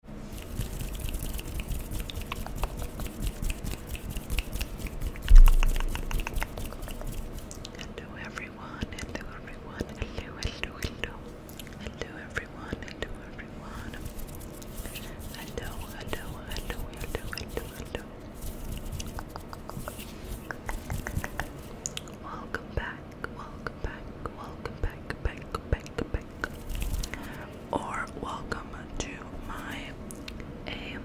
Hello everyone, hello everyone, hello, hello, hello. everyone, hello everyone. hello, hello, hello, hello. Welcome back, welcome back, welcome back, back, back, back, or welcome to my ASMR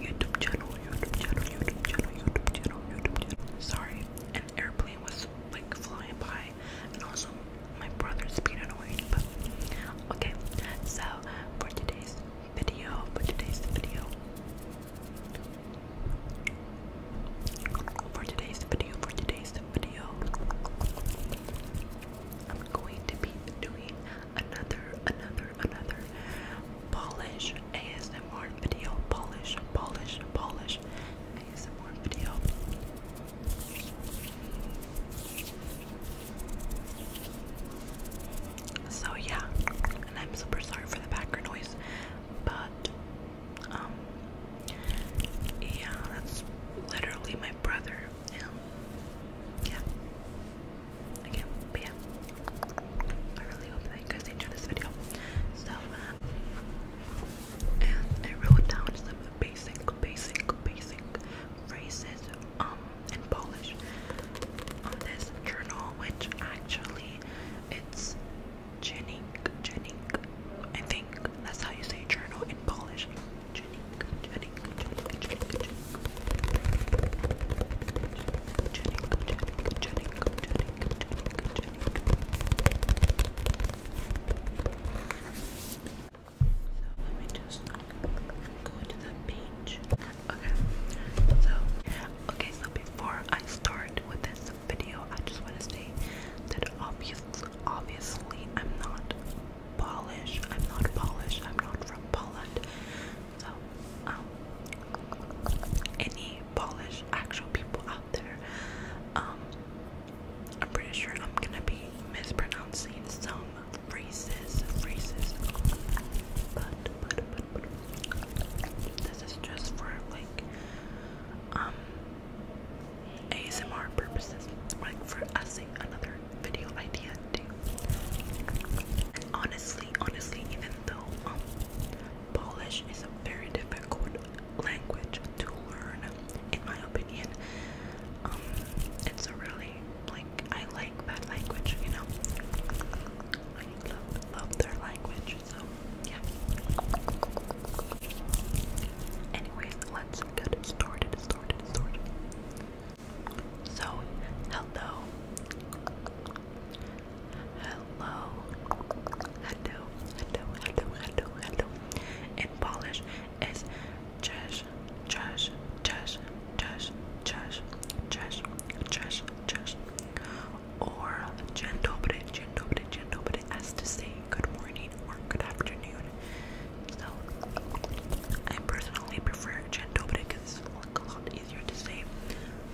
YouTube channel, YouTube channel, YouTube channel, YouTube channel, YouTube channel. Sorry, an airplane was like flying by, and also my brother speeded away. But okay, so for today's video, for today's video, for today's video, for today's video, I'm going to be doing another, another, another polish ASMR video, polish, polish, polish ASMR video. So yeah, and I'm super sorry for the background noise, but um, yeah, that's literally my brother. yeah, again, but yeah, I really hope that you guys enjoyed this video. So, uh, and I wrote down some basic, basic, basic phrases um in Polish on this journal, which actually it's Jenning, Jenning. I think that's how you say journal in Polish. Jenning, Jenning, Jenning, Jenning, Jenning. So let me just go to the page. Okay. So okay, so before I start with this video, I just want to say that obviously, obviously, I'm not Polish. I'm not Polish. I'm not from Poland. So, um, any Polish actual people out there, um, I'm pretty sure I'm gonna be mispronouncing some phrases, phrases. But, but this is just for like um ASMR purposes, like for us another video idea too. Honestly, honestly, even though um Polish is a very difficult language to learn, in my opinion, um it's a really like I like that language, you know. I love love their language. So, yeah. Anyways, let's get started, started, started. So, hello. Hello. Hello, hello, hello, hello, hello. In Polish is cześć, cześć, cześć, cześć, cześć, cześć, cześć, cześć or Dzień dobry, dzień dobry, dzień dobry as to say good morning or good afternoon. So I personally prefer dzień dobry because it's like a lot easier to say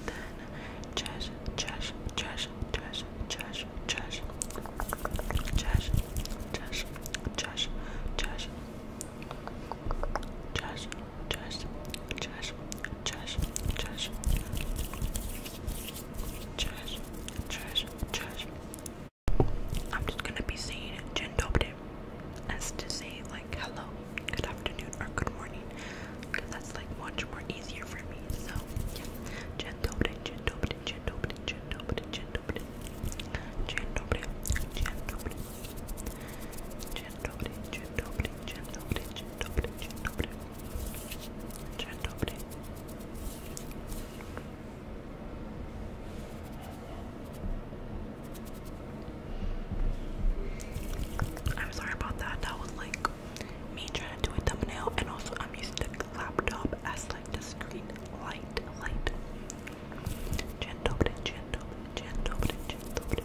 than cześć, cześć, cześć, cześć, cześć, cześć, cześć, cześć, cześć, cześć. Cześć, cześć, cześć, trash, trash, trash, trash, trash. I'm just gonna be saying Jendobde as to say like hello, good afternoon, or good morning, because that's like much more easier for me. So yeah, Jendobde, Jendobde, Jendobde, Jendobde, Jendobde, Jendobde, Jendobde, Jendobde, Jendobde, Jendobde, Jendobde, Jendobde. Dzień I'm sorry about that. That was like me trying to do a thumbnail, and also I'm using the laptop as like the screen light, light. Dzień dobry, dzień dobry,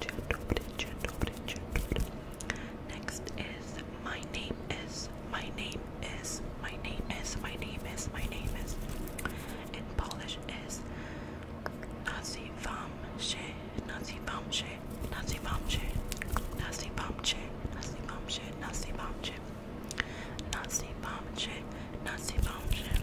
gentle, but gentle, but gentle. Next is my name is, my name is, my name is, my name is, my name is. In Polish is Nazywam się, nazywam się, nazywam się, nazywam się, nazywam się, nazywam się, nazywam się, nazywam się.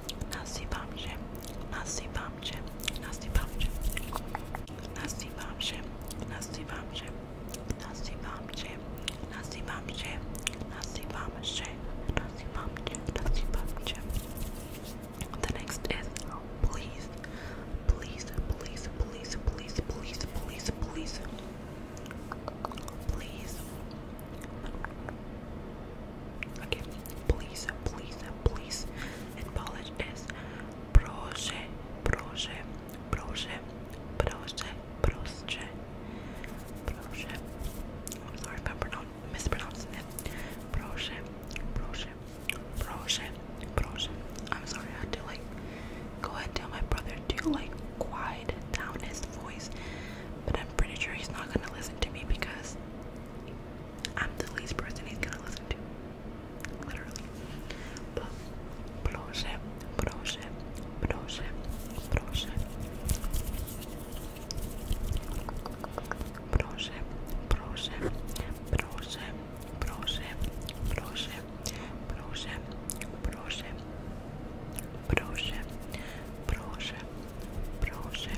Nasi bamche, nasi bamche, nasi bamche, nasi bamche, nasi bamche, nasi bamche, nasi bamche, nasi bamche, nasi bamche, nasi bamche. The next is please, please, please, please, please, please, please, please, please. Okay, please, please, please. In Polish is proszę, proszę, proszę, proszę, proszę, proszę. I'm sorry if I'm mispronouncing it. Proszę, proszę, proszę, proszę. I'm sorry, I had to like go ahead and tell my brother to like quiet down his voice, but I'm pretty sure he's not gonna listen to me because I'm the least person he's gonna listen to. Literally. But proszę, proszę, proszę, proszę. Proszę, proszę, proszę, proszę, proszę, proszę, proszę, proszę, proszę, proszę. Proszę,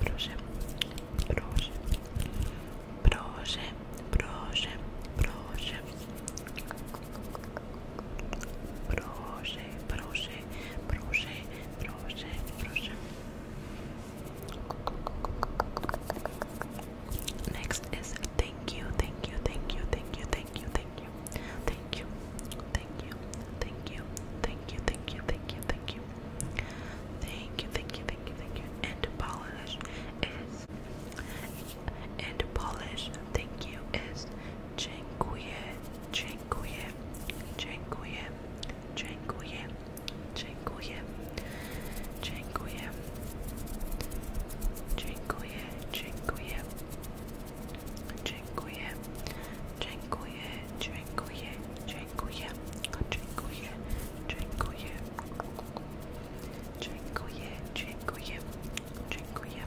proszę, proszę, proszę, proszę, proszę, proszę, proszę, proszę, proszę, proszę. Next is thank you, thank you, thank you, thank you, thank you, thank you, thank you, thank you, thank you, thank you, thank you, thank you, thank you, thank you, thank you, thank you, thank you. And polish is and polish. Thank you is dziękuję, dziękuję, dziękuję, dziękuję, dziękuję, dziękuję, dziękuję, dziękuję. Dziękuję, dziękuję, dziękuję, dziękuję, dziękuję, dziękuję, dziękuję, dziękuję, dziękuję.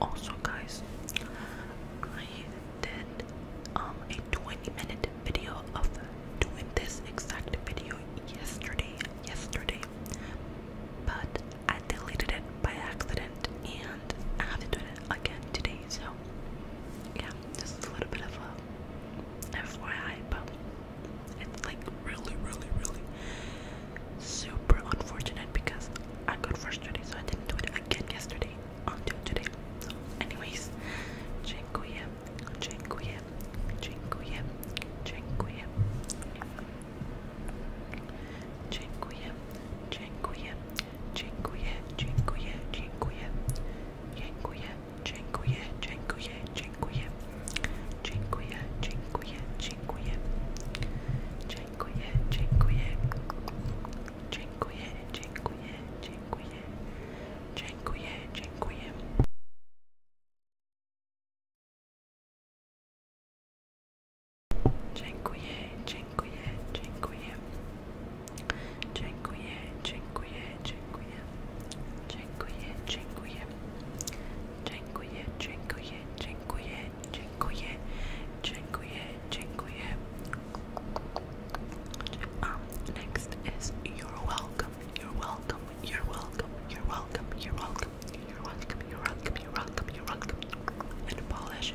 Also, guys, I did um a 20-minute video of doing this exact video yesterday, yesterday, but I deleted it by accident and I have to do it again today. So yeah, just a little bit of a FYI, but it's like really, really, really super unfortunate because I got frustrated, so I didn't do it again yesterday until today. So, anyways, dziękuję, dziękuję, dziękuję, dziękuję. Dziękuję, dziękuję, Dziękuję, dziękuję, dziękuję. Dziękuję, dziękuję, dziękuję, dziękuję. Dziękuję, dziękuję, dziękuję. Dziękuję, dziękuję. Dziękuję, dziękuję, dziękuję. Dziękuję, dziękuję. Dziękuję, dziękuję, dziękuję. Dziękuję, dziękuję, dziękuję. Dziękuję, dziękuję. Dziękuję, dziękuję, dziękuję, dziękuję. Dziękuję, dziękuję. Um, next is you're welcome, you're welcome, you're welcome, you're welcome, you're welcome, you're welcome, you're welcome, you're welcome, you're welcome. In Polish,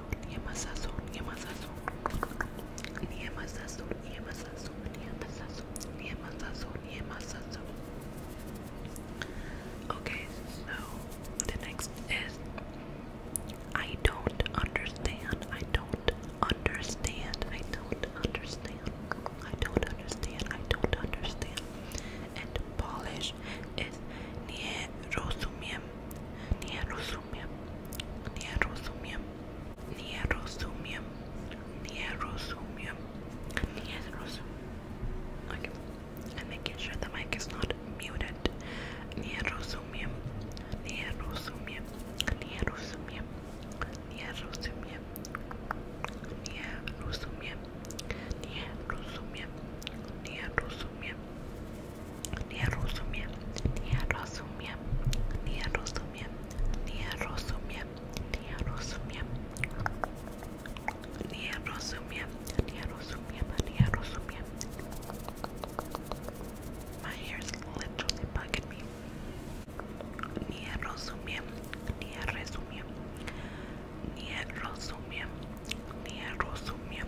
sazón, yema sazón, yema sazón. Yema sazón, yema sazón, yema sazón, yema sazón, yema sazón. Okay, so the next is I don't understand. I don't understand. I don't understand. I don't understand. I don't understand. And Polish is nie rozumiem. Nie rozumiem rozumiem, nie rozumiem, nie rozumiem, nie rozumiem, nie rozumiem. Okay, I'm making sure the mic is not muted. Nie rozumiem, nie rozumiem, nie rozumiem, nie rozumiem, nie rozumiem, nie rozumiem, nie rozumiem. Nie rozumiem. Nie rozumiem, nie rozumiem, nie rozumiem, nie rozumiem, nie rozumiem, nie rozumiem, nie rozumiem, nie rozumiem. My hair is literally bugging me. Nie rozumiem, nie rozumiem, nie rozumiem, nie rozumiem,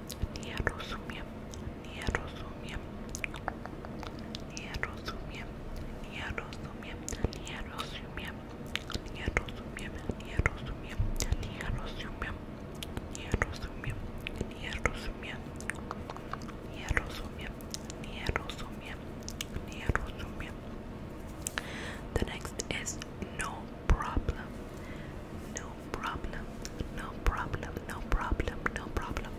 nie rozumiem, nie rozumiem, nie rozumiem, nie rozumiem, nie rozumiem, nie rozumiem, nie rozumiem, nie rozumiem, nie rozumiem, nie rozumiem, nie rozumiem, nie rozumiem, nie rozumiem. The next is no problem. No problem, no problem, no problem, no problem.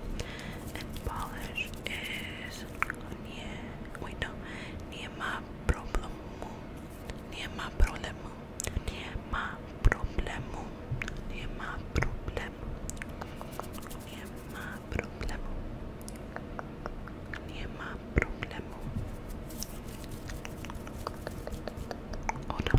And Polish is nie, wait no, nie ma problemu, nie ma problemu, nie ma problemu, nie ma problemu, nie ma problemu, nie ma problemu. Oh no.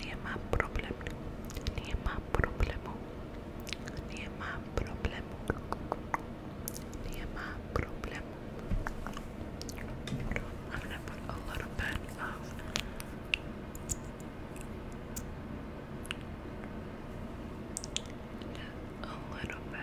Nemá problém. Nemá problému. Nemá problému. Nemá problému. I'm gonna put a little bit of a little bit.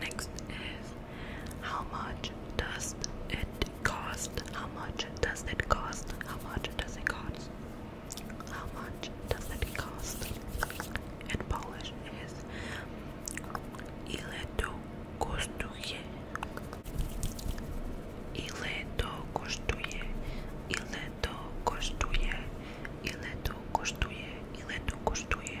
Next is how much does it cost? How much does it cost? How much does it cost? How much does it cost? In Polish is ile to kosztuje? Ile to kosztuje? Ile to kosztuje? Ile to kosztuje? Ile to kosztuje?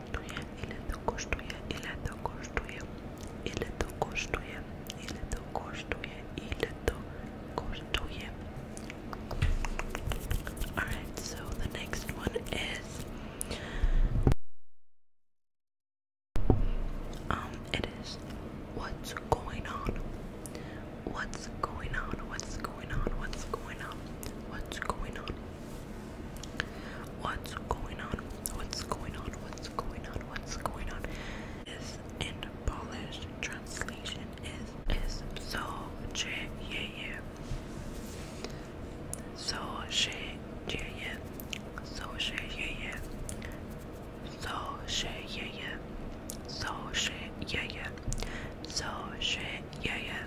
Alright, so the next one is um it is what's going on? What's going on? What's going on? What's going on? What's going on? What's going on? What's going on? What's going on? What's going on? This in Polish translation is is so che yeah yeah. So she yeah yeah. So she yeah yeah. So she yeah yeah. So she yeah yeah. So she yeah yeah.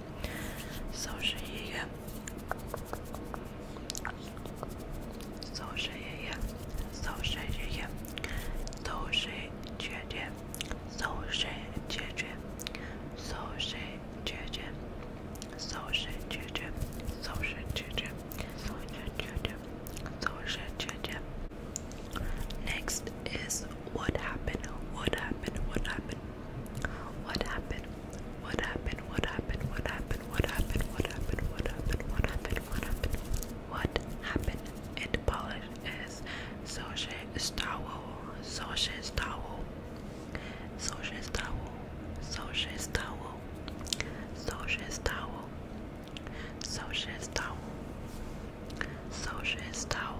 So yeah. So yeah. So yeah. So yeah. So yeah. So yeah. Social children, social children, social children, social children. Next is what happened, what happened, what happened, what happened? What happened? What happened? What happened? What happened? What happened? What happened? What happened? What happened? What happened? In Polish is so she stało, so she stało, so she stało, so she stało, so she stało, so she stało, so she stało,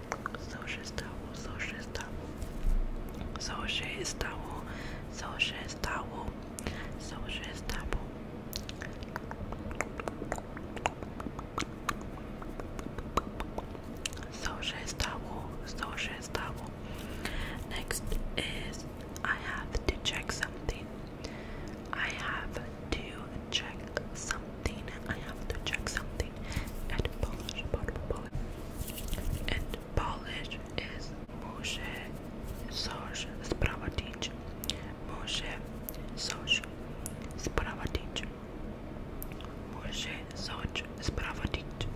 Soja estawo, soja estawo. Soja estawo, soja estawo. Soja estawo. Soja estawo, soja estawo. Next is I have to check something. I have to check something. I have to check something and polish, polish, polish. And polish is muszę coś sprawdzić. Muszę coś sprawdzić. Muszę coś sprawdzić.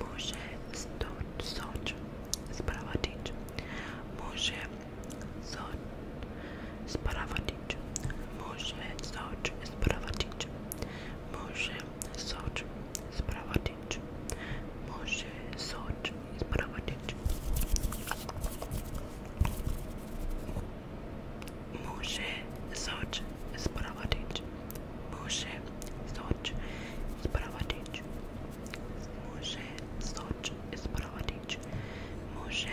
Muszę stąd coś sprawdzić. Muszę Zod Spravatić. Može Zod Spravatić. Može Zod Spravatić. Može Zod Spravatić. Može Zod Spravatić. Može Zod Spravatić. Može Zod Spravatić. Može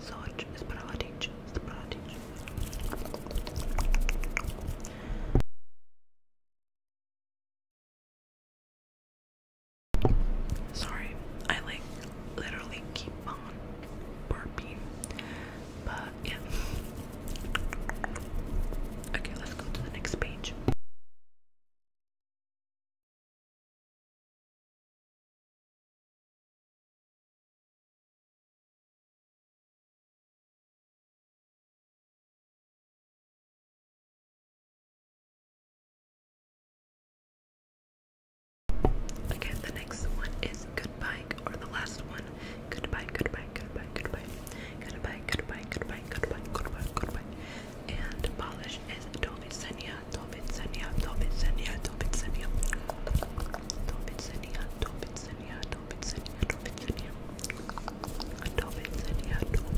Sorge is Pratic. Sorry, I like literally keep on burping. But yeah. Okay, let's go to the next page. Okay, the next one is goodbye, or the last one. Goodbye, goodbye, goodbye, goodbye. Goodbye, goodbye, goodbye, goodbye, goodbye, goodbye. And polish is Dolce senia. Tobitsania, Tobitsania, Tobitsania, Tobitsania, Tobitsania, Tobitsania, Tobitsania, Tobitsania, Tobitsania, Tobitsania, Tobitsania, Tobitsania, Tobitsania,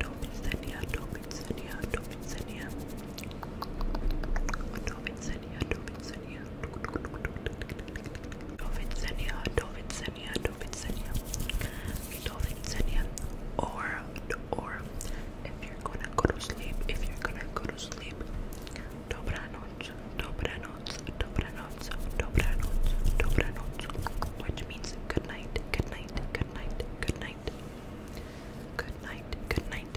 Dovidsenia, Dovidsenia, Dovidsenia, Dovidsenia, or, or, if you you're gonna go to sleep, if you're gonna go to sleep. Dobra noc, dobra noc, dobra noc, dobra noc, dobra noc, which means good night, good night, good night, good night, good night, good night,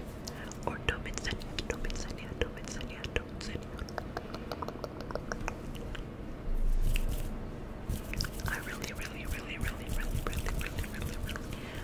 or dobitsenia, dobitsenia, dobitsenia, dobitsenia. I really, really, really, really, really, really, really, really, really,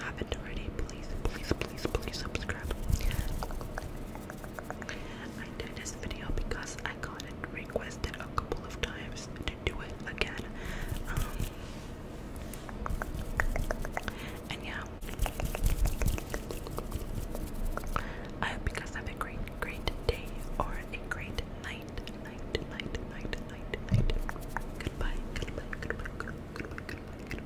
haven't already, please, please, please, please subscribe. I did this video because I got requested a couple of times to do it again. Um, and yeah, I hope you guys have a great, great day or a great night, night, night, night, night, goodbye.